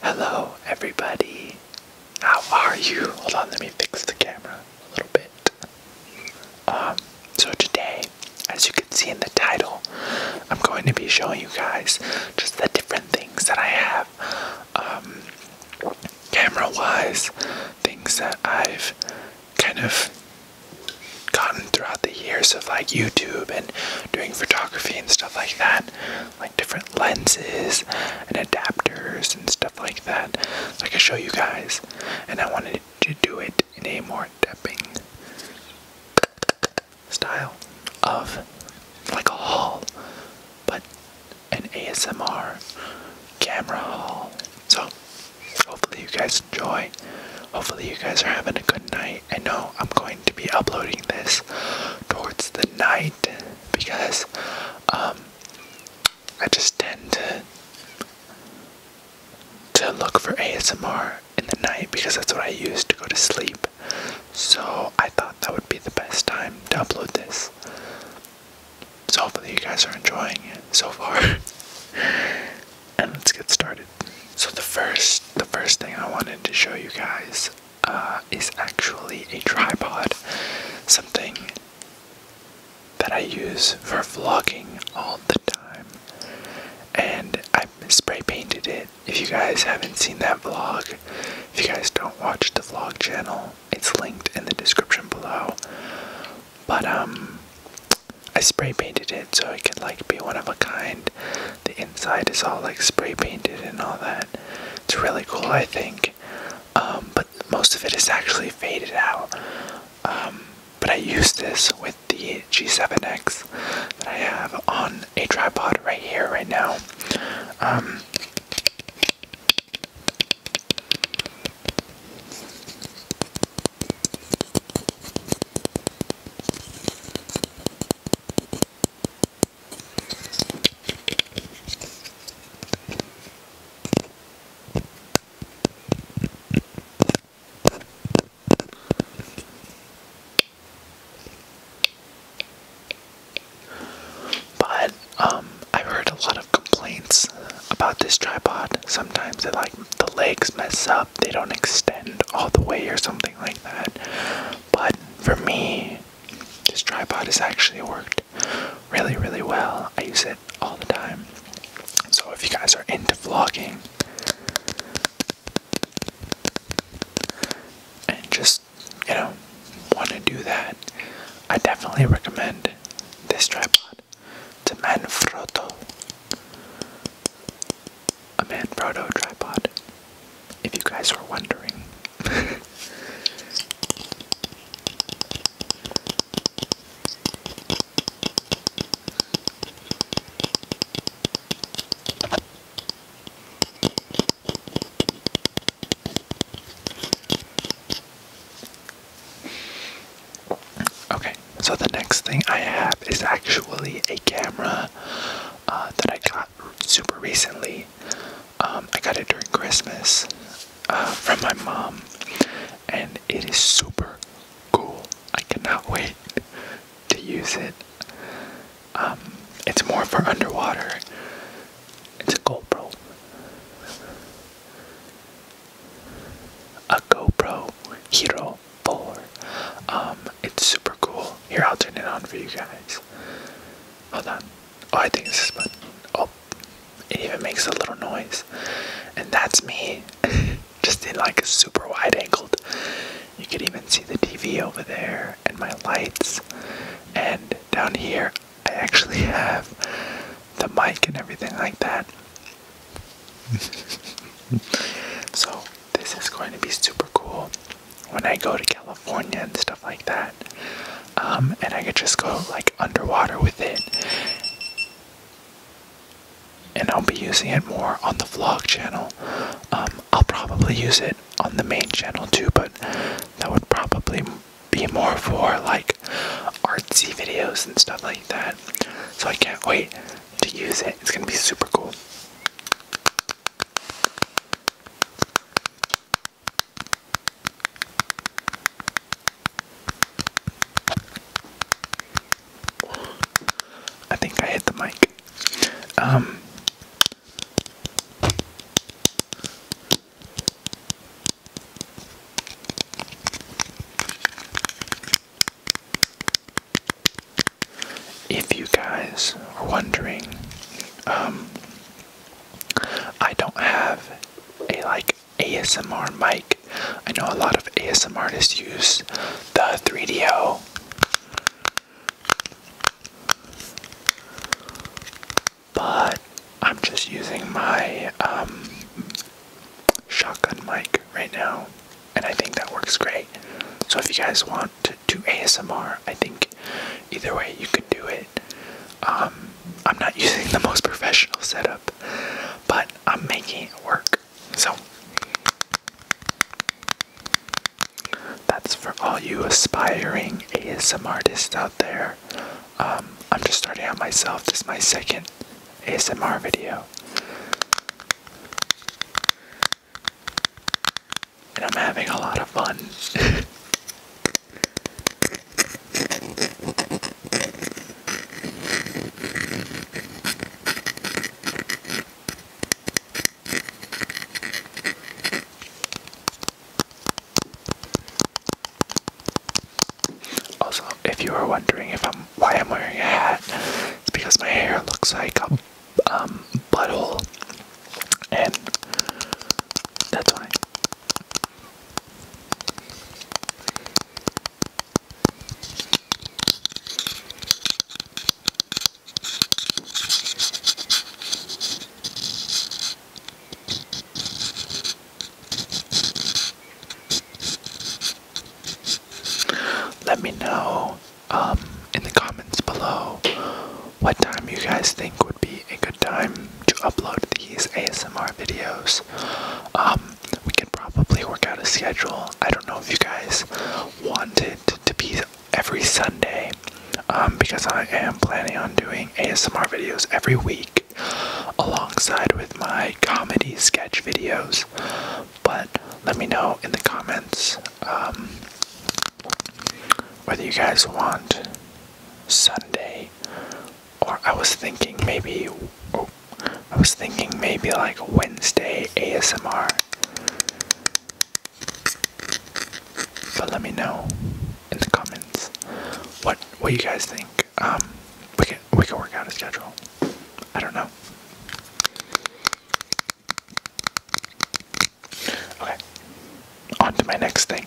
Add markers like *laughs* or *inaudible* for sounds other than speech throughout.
Hello, everybody. How are you? Hold on, let me fix the camera a little bit. Um, so, today, as you can see in the title, I'm going to be showing you guys just the different things that I have um, camera wise, things that I've kind of gotten throughout the years of like YouTube and doing photography and stuff like that like different lenses and adapters and stuff like that. So I could show you guys. And I wanted to do it in a more tapping style of like a haul, but an ASMR camera haul. So hopefully you guys enjoy. Hopefully you guys are having a good night. I know I'm going to be uploading this towards the night because um, I just tend to look for ASMR in the night because that's what I use to go to sleep. So I thought that would be the best time to upload this. So hopefully you guys are enjoying it so far. *laughs* and let's get started. So the first the first thing I wanted to show you guys uh, is actually a tripod, something that I use for vlogging all the time. And I spray painted it. If you guys haven't seen that vlog, if you guys don't watch the vlog channel, it's linked in the description below. But um I spray painted it so it could like be one of a kind. The inside is all like spray painted and all that. It's really cool, I think. Um, but most of it is actually faded out. Um, but I use this with the G7X that I have on a tripod right here, right now. Um, but um, I've heard a lot of complaints about this tripod. Sometimes like the legs mess up, they don't extend all the way or something like that. But for me, this tripod has actually worked really, really well. I use it all the time. So if you guys are into vlogging and just, you know, want to do that, I definitely recommend this tripod. It's Manfrotto a Manfrotto tripod, if you guys were wondering. Okay, so the next thing I have is actually a camera uh, that I got super recently. Um, I got it during Christmas uh, from my mom, and it is super cool. I cannot *laughs* wait to use it. Um, it's more for underwater. It's a GoPro. A GoPro Hero 4. Um, it's super cool. Here, I'll turn it on for you guys. Hold on. Oh, I think this button. Oh, it even makes a little noise. And that's me, *laughs* just in like a super wide angle. You can even see the TV over there and my lights. And down here, I actually have the mic and everything like that. *laughs* so this is going to be super cool when I go to California and stuff like that. Um, and I could just go like underwater with it. And I'll be using it more on the vlog channel. Um, I'll probably use it on the main channel too, but that would probably be more for like artsy videos and stuff like that. So I can't wait to use it. It's gonna be super cool. I think I hit the mic. Um if you guys are wondering, um, I don't have a like ASMR mic. I know a lot of ASMR artists use the 3DO. But I'm just using my um, shotgun mic right now, and I think that works great. So, if you guys want to to ASMR. I think either way you could do it. Um, I'm not *laughs* using the most professional setup, but I'm making it work. So that's for all you aspiring ASMR artists out there. Um, I'm just starting out myself. This is my second ASMR video. And I'm having a lot of fun. also, if you are wondering if I'm why I'm wearing a hat, it's because my hair looks like a um, butthole, and that's when Let me know um, in the comments below what time you guys think would be a good time to upload these ASMR videos. Um, we can probably work out a schedule. I don't know if you guys want it to be every Sunday um, because I am planning on doing ASMR videos every week alongside with my comedy sketch videos. But let me know in the comments um, whether you guys want Sunday or I was thinking maybe oh, I was thinking maybe like Wednesday ASMR. But let me know in the comments what what you guys think. Um, we can we can work out a schedule. I don't know. Okay, on to my next thing.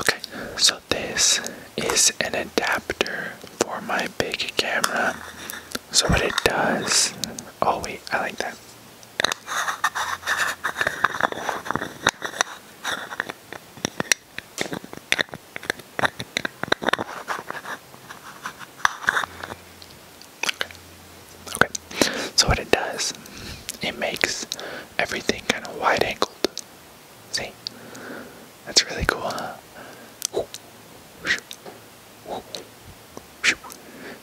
okay, so this is an adapter for my big camera. So, what it does. Oh, wait, I like that. Okay. So what it does, it makes everything kind of wide angled. See? That's really cool, huh?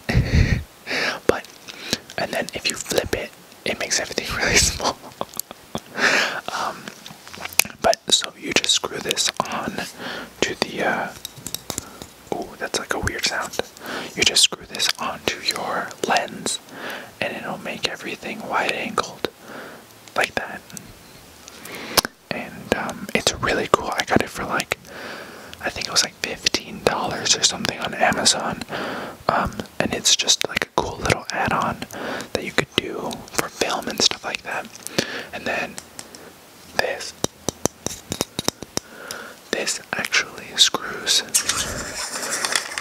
*laughs* but and then if you flip it, it makes everything *laughs* really small. Um, but so you just screw this on to the. oh, that's like a weird sound. You just screw this onto your lens, and it'll make everything wide-angled, like that. And um, it's really cool. I got it for like, I think it was like fifteen dollars or something on Amazon. Um, and it's just like cool little add-on that you could do for film and stuff like that. And then this. This actually screws.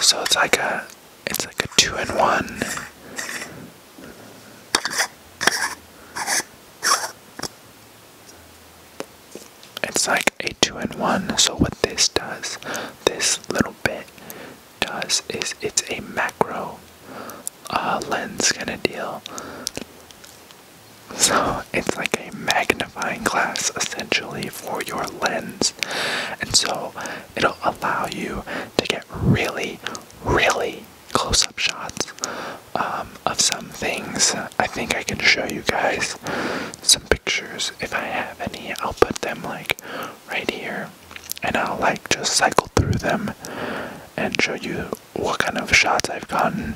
So it's like a it's like a two-in-one. It's like a two in one. So, what this does, this little bit does is it's a macro uh, lens kind of deal. So it's like a magnifying glass essentially for your lens. And so it'll allow you to get really, really close up shots um, of some things. I think I can show you guys some pictures if I have any. I'll put them like right here and I'll like just cycle through them and show you what kind of shots I've gotten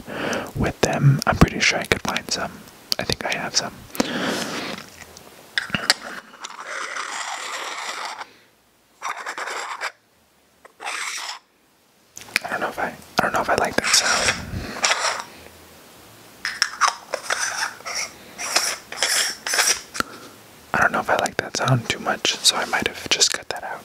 with them. I'm pretty sure I could find some. I think I have some. I don't know if I I don't know if I like that sound. I don't know if I like that sound too much, so I might have just cut that out.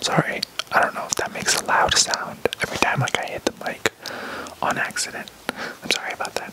Sorry, I don't know if that makes a loud sound every time like I hit the mic on accident. I'm sorry about that.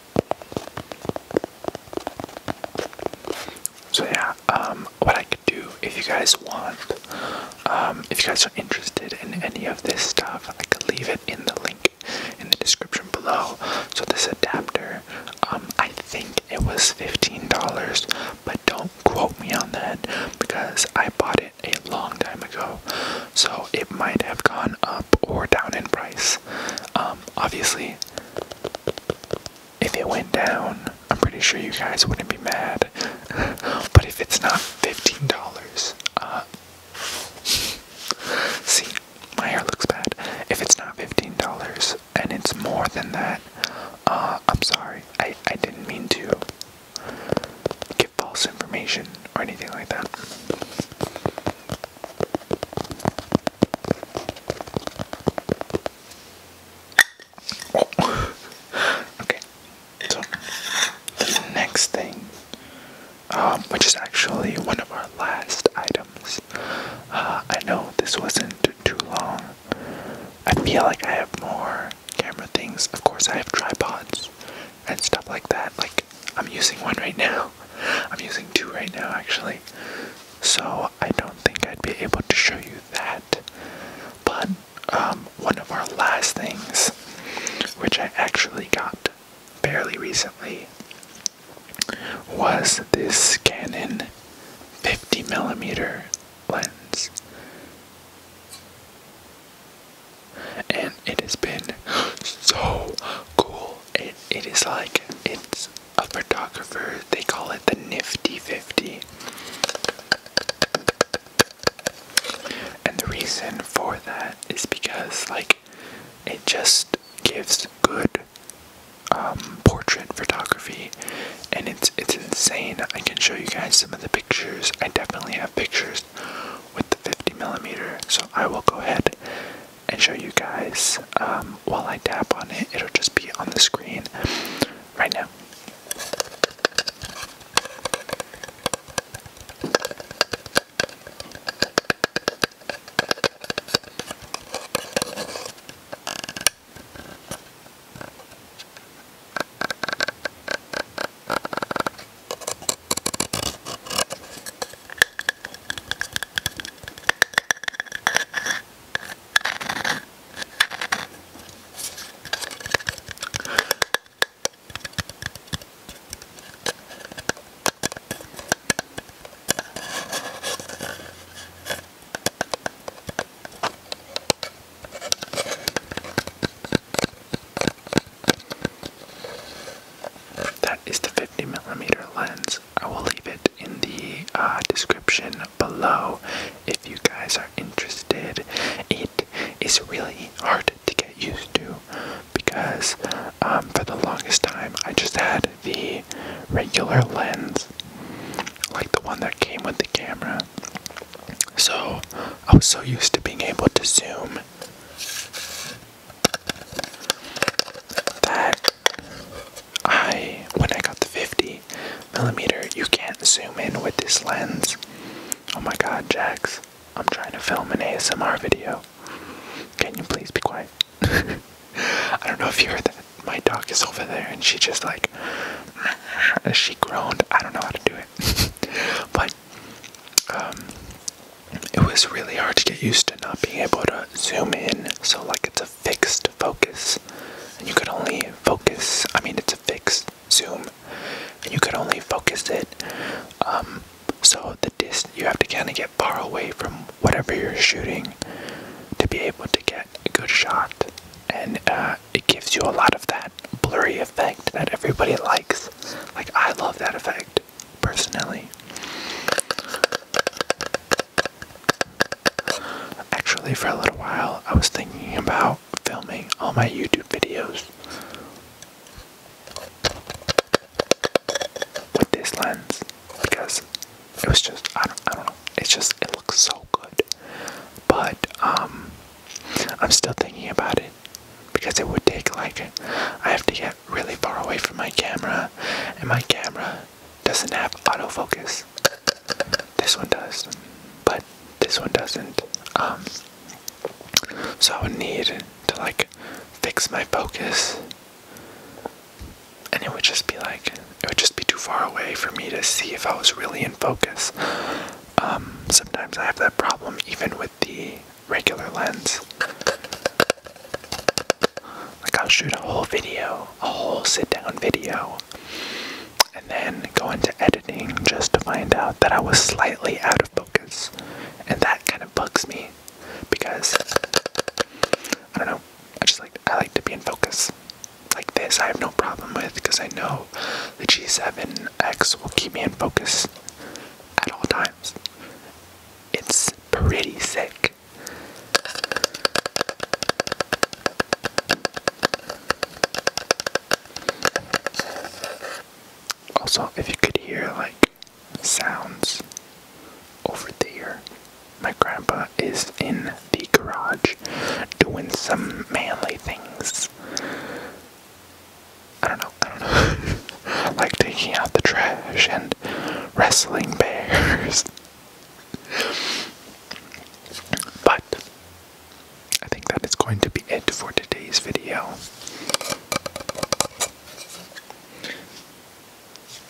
So yeah, um, what I could do if you guys want, um, if you guys are interested in any of this stuff, I could leave it in the link in the description below. So this adapter, um, I think it was fifteen dollars, but don't quote me on that because I bought it a long time ago, so it might have gone up or down in price. Um, obviously, if it went down, I'm pretty sure you guys wouldn't be mad. *laughs* but if it's not $15, uh, *laughs* see, my hair looks bad. If it's not $15 and it's more than that, uh, I'm sorry. I, I didn't mean to give false information or anything like that. Oh. okay, so next thing, um, which is actually one of our last items. Uh, I know this wasn't too long. I feel like I have more camera things. Of course, I have tripods and stuff like that. Like, I'm using one right now. *laughs* I'm using two right now, actually so I don't think I'd be able to show you that. But um, one of our last things, which I actually got fairly recently, was this Canon 50 millimeter lens. And it has been *gasps* so cool. It, it is like, it's a photographer, they call it the Nifty 50. And the reason for that is because, like, it just gives good um, portrait photography, and it's it's insane. I can show you guys some of the pictures. I definitely have pictures with the 50 millimeter, so I will go ahead and show you guys um, while I tap on it. It'll just be on the screen right now. That is the 50 millimeter lens. I will leave it in the uh, description below if you guys are interested. It is really hard to get used to because um, for the longest time I just had the regular lens, like the one that came with the camera. So I was so used to being able to zoom I when I got the 50 millimeter, you can't zoom in with this lens. Oh my god, Jax, I'm trying to film an ASMR video. Can you please be quiet? *laughs* I don't know if you heard that. My dog is over there and she just like *laughs* she groaned. I don't know how to do it. *laughs* but um it was really hard to get used to to not being able to zoom in, so like it's a fixed focus, and you could only focus. I mean, it's a fixed zoom, and you could only focus it. Um, so the distance you have to kind of get far away from whatever you're shooting to be able to get a good shot, and uh, it gives you a lot of that blurry effect that everybody likes. Like I love that effect personally. Actually, for a little while, I was thinking about filming all my YouTube videos with this lens because it was just I don't know it just it looks so good but um I'm still thinking about it because it would take like I have to get really far away from my camera and my camera doesn't have autofocus. This one does, but this one doesn't. Um, so I would need to like fix my focus, and it would just be like it would just be too far away for me to see if I was really in focus. Um, sometimes I have that problem even with the regular lens. Like, I'll shoot a whole video, a whole sit down video, and then go into editing just to find out that I was slightly out of focus. And that kind of bugs me because I don't know, I just like, I like to be in focus. Like this, I have no problem with because I know the G7X will keep me in focus at all times. It's pretty sick. Also, if you could hear like sounds over there, my grandpa is in the garage doing some manly things. I don't know, I don't know. *laughs* like taking out the trash and wrestling bears. but I think that is going to be it for today's video.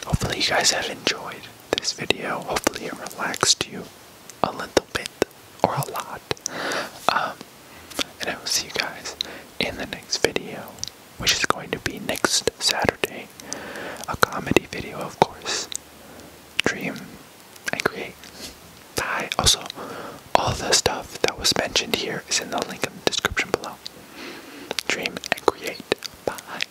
Hopefully, you guys have enjoyed this video. Hopefully, it relaxed you a little bit or a lot. Um, and I will see you guys in the next video which is going to be next Saturday. A comedy video, of course. Dream and create. Bye. Also, all the stuff that was mentioned here is in the link in the description below. Dream and create. Bye.